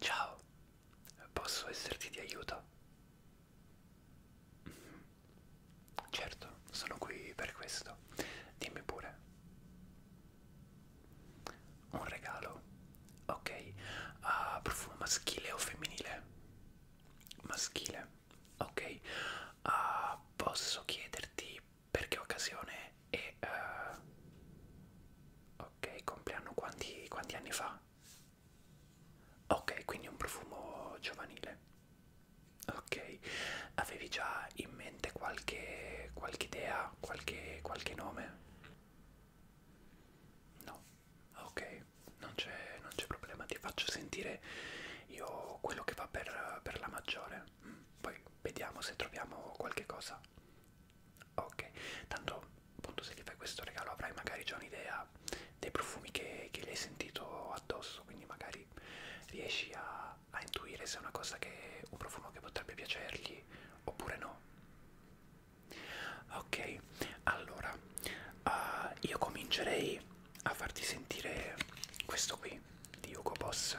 Ciao, posso esserti di aiuto? Mm-hmm. Certo, sono qui per questo. Dimmi pure. Un regalo? Ok. Ha uh, profumo maschile o femminile? Maschile. Ok uh, posso chiederti per che occasione e uh, ok compleanno quanti, quanti anni fa ok quindi un profumo giovanile ok avevi già in mente qualche qualche idea qualche qualche nome no ok non c'è non c'è problema ti faccio sentire io quello che va per, per la maggiore mm. poi vediamo se troviamo qualche cosa ok tanto appunto se gli fai questo regalo avrai magari già un'idea dei profumi che, che gli hai sentito addosso quindi magari riesci a, a intuire se è una cosa che un profumo che potrebbe piacergli oppure no ok allora uh, io comincerei a farti sentire questo qui di Hugo Boss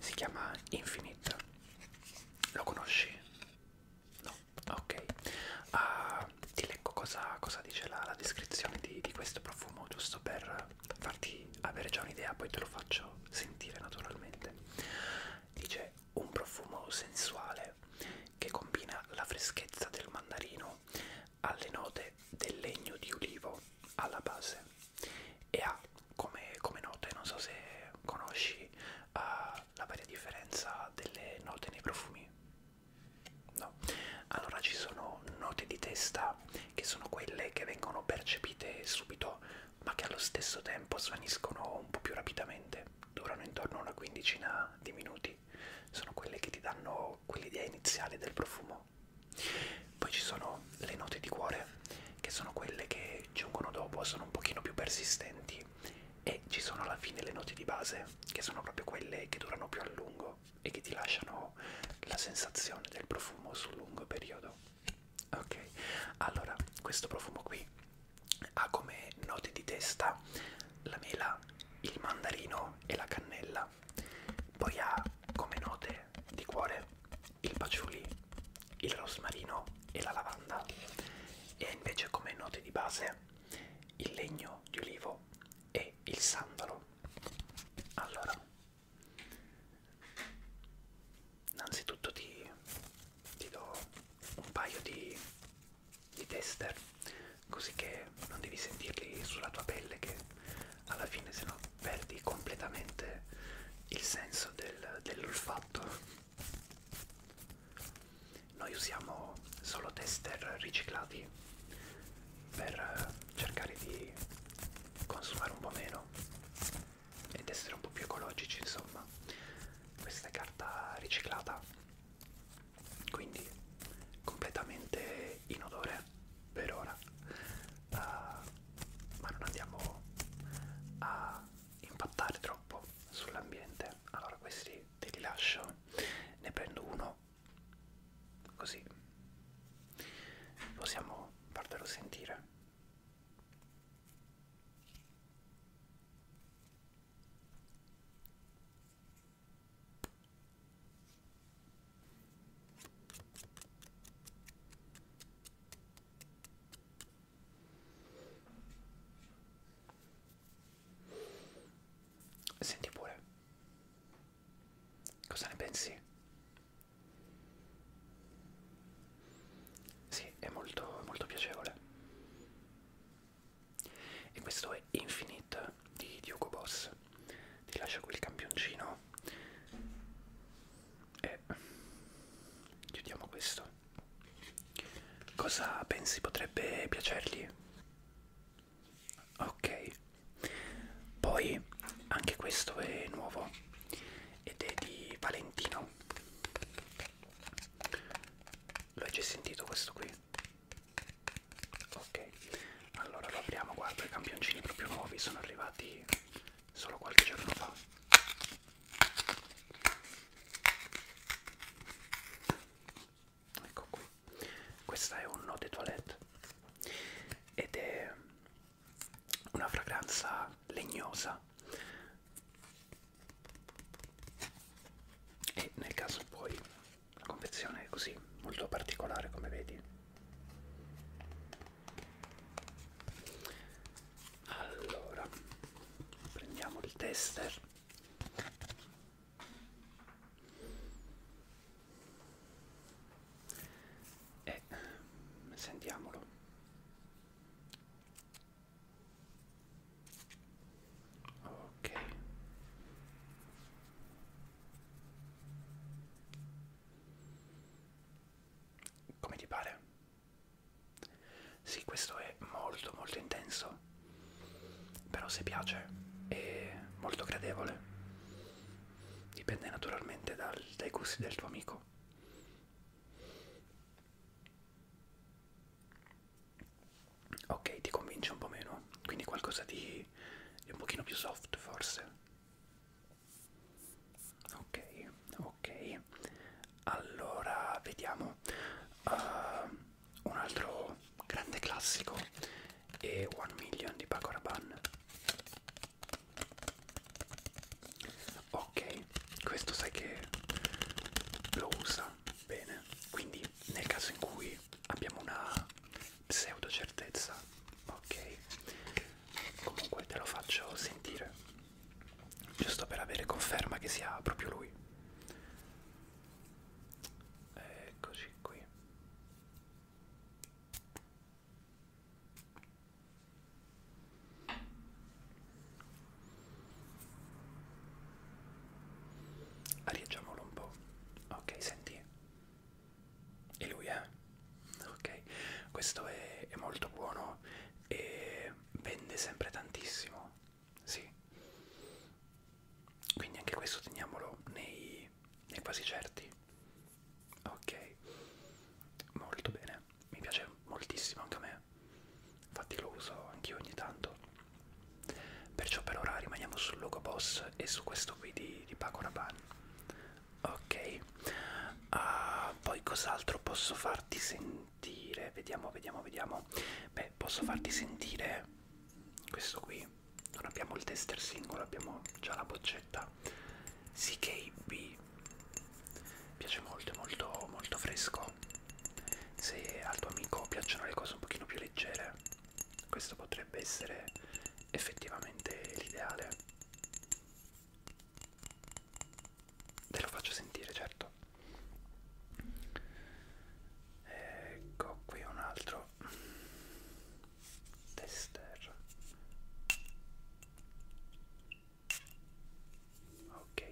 si chiama Infinite lo conosci? no? ok uh, ti leggo cosa, cosa dice la, la descrizione di, di questo profumo giusto per farti avere già un'idea poi te lo faccio sentire naturalmente dice un profumo sensuale che combina la freschezza del mandarino attorno alle note del legno di ulivo alla base e ha come, come note, non so se conosci uh, la varia differenza delle note nei profumi. No. Allora ci sono note di testa che sono quelle che vengono percepite subito ma che allo stesso tempo svaniscono un po' più rapidamente, durano intorno a una quindicina di minuti, sono quelle che ti danno quell'idea iniziale del profumo no. Poi ci sono le note di cuore che sono quelle che giungono dopo, sono un pochino più persistenti e ci sono alla fine le note di base che sono proprio quelle che durano più a lungo e che ti lasciano la sensazione del profumo sul lungo periodo. Ok, allora questo profumo qui ha come note di testa la mela, il mandarino e la cannella vita. Poi ha come note di cuore il patchouli, il rosmarino e la lavanda e ha invece come note di base il legno di olivo e il sandalo. Allora, innanzitutto ti, ti do un paio di, di tester così che non devi sentirli sulla tua pelle che alla fine se no perdi completamente il senso del, dell'olfatto. Noi usiamo solo tester riciclati per cercare di consumare un po' meno ed essere un po' più ecologici insomma. Questa è carta riciclata, quindi completamente inodore per ora uh, ma non andiamo a impattare troppo sull'ambiente allora questi te li lascio ne prendo uno così possiamo fartelo sentire Senti pure. Cosa ne pensi? Sì, è molto, molto piacevole. E questo è Infinite di Diogo Boss ti lascio quel campioncino e chiudiamo questo cosa pensi potrebbe piacergli ok poi anche questo è nuovo ed è di Valentino lo hai già sentito questo qui ok allora lo apriamo guarda i campioncini proprio nuovi sono arrivati solo qualche giorno fa ecco qui questa è un note toilette ed è una fragranza legnosa e nel caso poi la confezione è così molto particolare come vedi allora prendiamo il tester e mm, sentiamolo ok come ti pare? Sì, questo è molto molto intenso, però se piace è molto gradevole. Dipende naturalmente dal, dai gusti del tuo amico. Ok, ti convince un po' meno, quindi qualcosa di, di un pochino più soft forse ok ok allora vediamo uh, un altro grande classico è One Million di Paco Rabanne ok questo sai che lo usa bene quindi nel caso in cui abbiamo una pseudo certezza ok comunque te lo faccio sentire giusto per avere conferma che sia proprio lui eccoci qui Arieggiamolo un po'. Ok, senti e lui è ok questo è, è molto buono e vende sempre tantissimo sì quindi anche questo teniamolo nei, nei quasi certi ok molto bene mi piace moltissimo anche a me infatti lo uso anch'io ogni tanto perciò per ora rimaniamo sul logo boss e su questo qui di, di Paco Rabanne ok uh, poi cos'altro posso farti sentire vediamo vediamo vediamo beh posso farti sentire questo qui non abbiamo il tester singolo abbiamo già la boccetta CKB piace molto molto molto fresco se al tuo amico piacciono le cose un pochino più leggere questo potrebbe essere effettivamente l'ideale Ve lo faccio sentire, certo. Ecco qui un altro tester. Ok.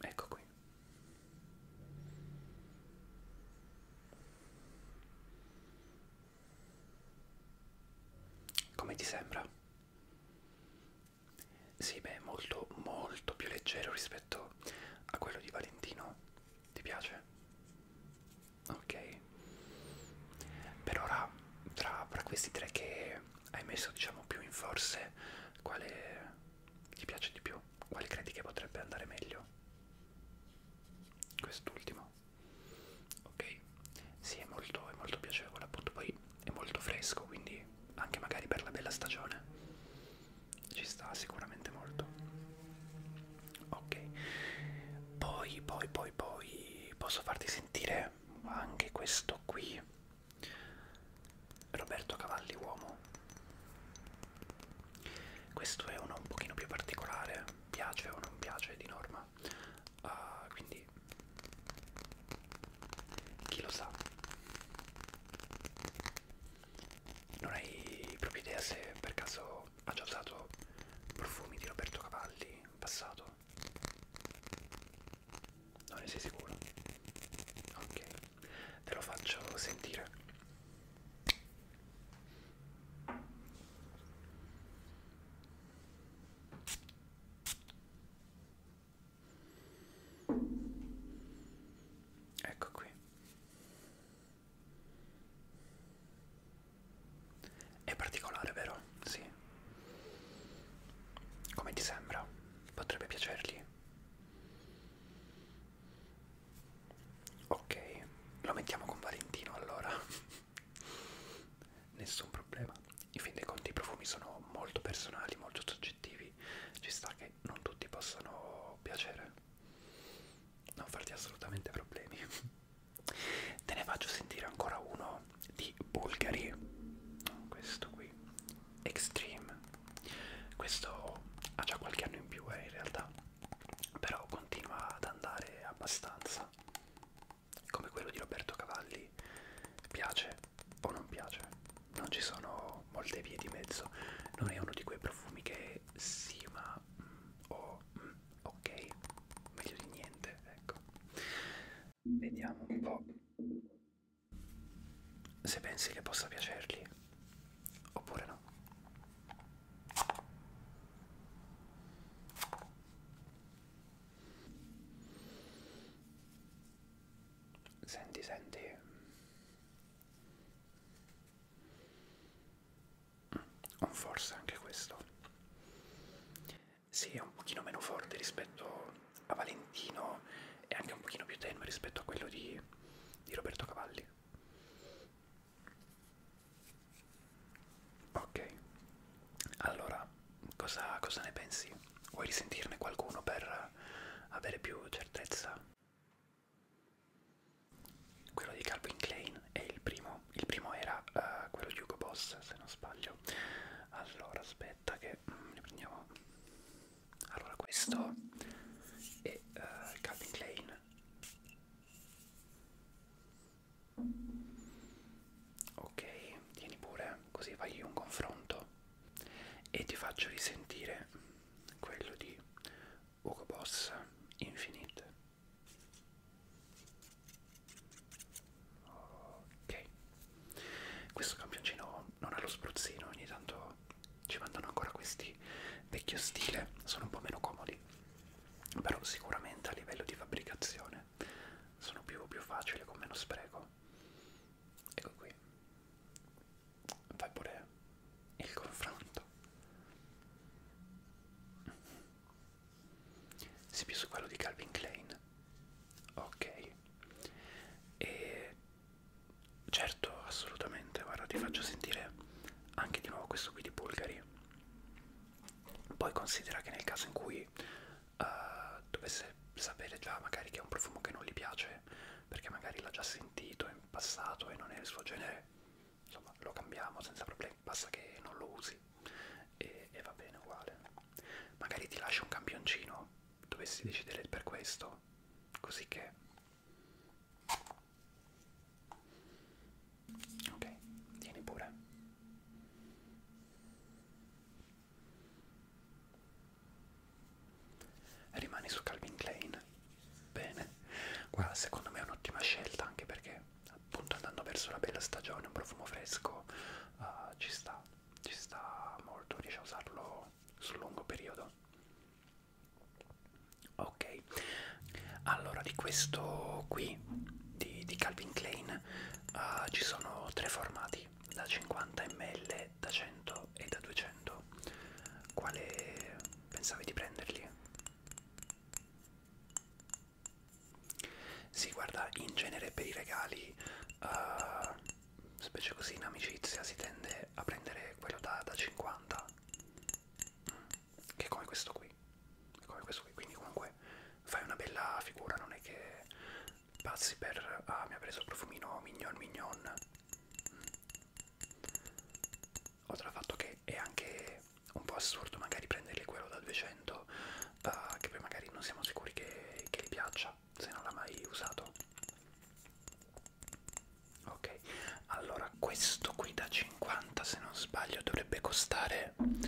Ecco qui. Come ti sembra? Sì, beh, molto, molto più leggero rispetto a quello di Valentino. Ti piace? Ok. Per ora, tra, tra questi tre che hai messo, diciamo, più in forse, quale ti piace di più? Quale credi che potrebbe andare meglio? quest'ultimo ok sì è molto, è molto piacevole appunto poi è molto fresco quindi anche magari per la bella stagione ci sta sicuramente molto ok poi poi poi poi posso farti sentire anche questo qui Roberto Cavalli uomo questo è uno un pochino più particolare piace o non piace di norma uh, quindi chi lo sa non hai proprio idea se per caso ha già usato profumi di Roberto Cavalli in passato non ne sei sicuro ok te lo faccio sentire Ecco qui. È particolare, vero? Sì. Come ti sembra? Potrebbe piacergli? Ok, lo mettiamo con Valentino allora. Nessun problema. In fin dei conti i profumi sono molto personali, molto soggettivi. Ci sta che non tutti possano piacere. Non farti assolutamente problemi. Te ne faccio sentire ancora uno di Bulgari. Questo qui. Extreme. Questo ha già qualche anno in più eh, in realtà però continua ad andare abbastanza come quello di Roberto Cavalli piace o non piace non ci sono molte vie di mezzo non è uno di quei profumi che sì ma mm, o mm, ok meglio di niente ecco vediamo un po' se pensi che possa piacergli oppure no Senti, senti. Un mm, forse anche questo. Sì, è un pochino meno forte rispetto a Valentino e anche un pochino più tenue rispetto a quello di, di Roberto Cavalli. Ok, allora cosa, cosa ne pensi? Vuoi risentirne qualcuno per avere più certezza? Quello di Calvin Klein è il primo, il primo era uh, quello di Hugo Boss se non sbaglio. Allora aspetta che mm, ne prendiamo. Allora questo è uh, Calvin Klein Ok, tieni pure, così fai un confronto e ti faccio risentire quello di Ugo Boss Infinite. Ok, questo campioncino non ha lo spruzzino, ogni tanto ci mandano ancora questi vecchio stile, sono un po' meno comodi però sicuramente a livello di fabbricazione sono più, più facili con meno spreco ecco qui fai pure il confronto si più su quello di Calvin Klein ok e certo assolutamente guarda ti faccio sentire anche di nuovo questo qui di Bulgari poi considera che nel caso in cui uh, dovesse sapere già magari che è un profumo che non gli piace, perché magari l'ha già sentito in passato e non è il suo genere, insomma lo cambiamo senza problemi, basta che non lo usi e, e va bene uguale. Magari ti lascio un campioncino, dovessi decidere per questo, così che Ok, tieni pure. Rimani su Calvin Klein. Bene. Guarda, secondo me è un'ottima scelta anche perché appunto andando verso la bella stagione, un profumo fresco uh, ci sta, ci sta molto, riesci a usarlo sul lungo periodo ok allora di questo qui di, di Calvin Klein uh, ci sono tre formati da 50 ml da 100 e da 200 quale pensavi di prenderli si sì, guarda in genere per i regali uh, specie così in amicizia si tende a prendere quello da, da 50 mm che è come questo qui, come questo qui. quindi comunque fai una bella figura, non è che passi per... ah mi ha preso il profumino mignon mignon. Mm. Oltre al fatto che è anche un po' assurdo magari prenderli quello da 200, uh, ah, che poi magari non siamo sicuri che, che gli piaccia, se non l'ha mai usato. Ok, allora allora questo qui da 50 se non sbaglio dovrebbe costare 40,90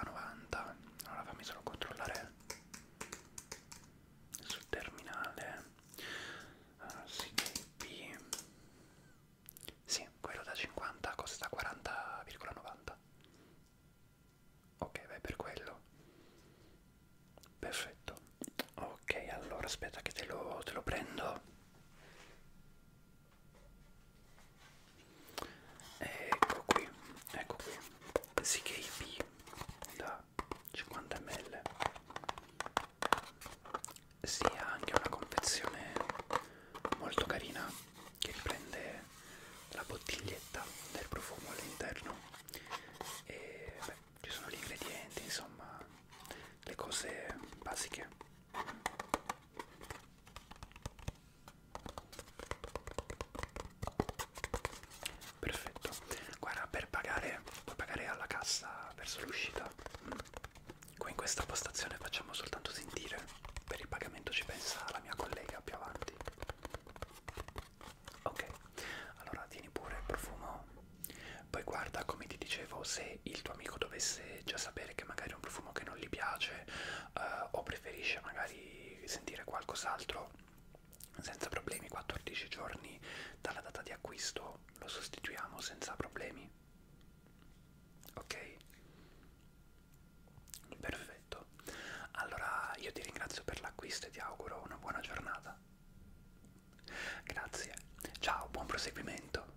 allora fammi solo controllare sul terminale allora, ah, CKB sì quello da 50 costa 40,90 ok vai per quello perfetto ok allora aspetta che te lo, te lo prendo ecco qui ecco qui SKB da 50 ml si ha anche una confezione molto carina che riprende la bottiglietta del profumo all'interno e beh, ci sono gli ingredienti insomma le cose basiche Perfetto, guarda per pagare puoi pagare alla cassa verso l'uscita. Qui in questa postazione facciamo soltanto sentire, per il pagamento ci pensa la mia collega più avanti. Ok, allora tieni pure il profumo. Poi guarda come ti dicevo se se il tuo amico dovesse già sapere che magari è un profumo che non gli piace eh, o preferisce magari sentire qualcos'altro senza problemi 14 giorni dalla data di acquisto lo sostituiamo senza problemi ok perfetto allora io ti ringrazio per l'acquisto e ti auguro una buona giornata grazie ciao buon proseguimento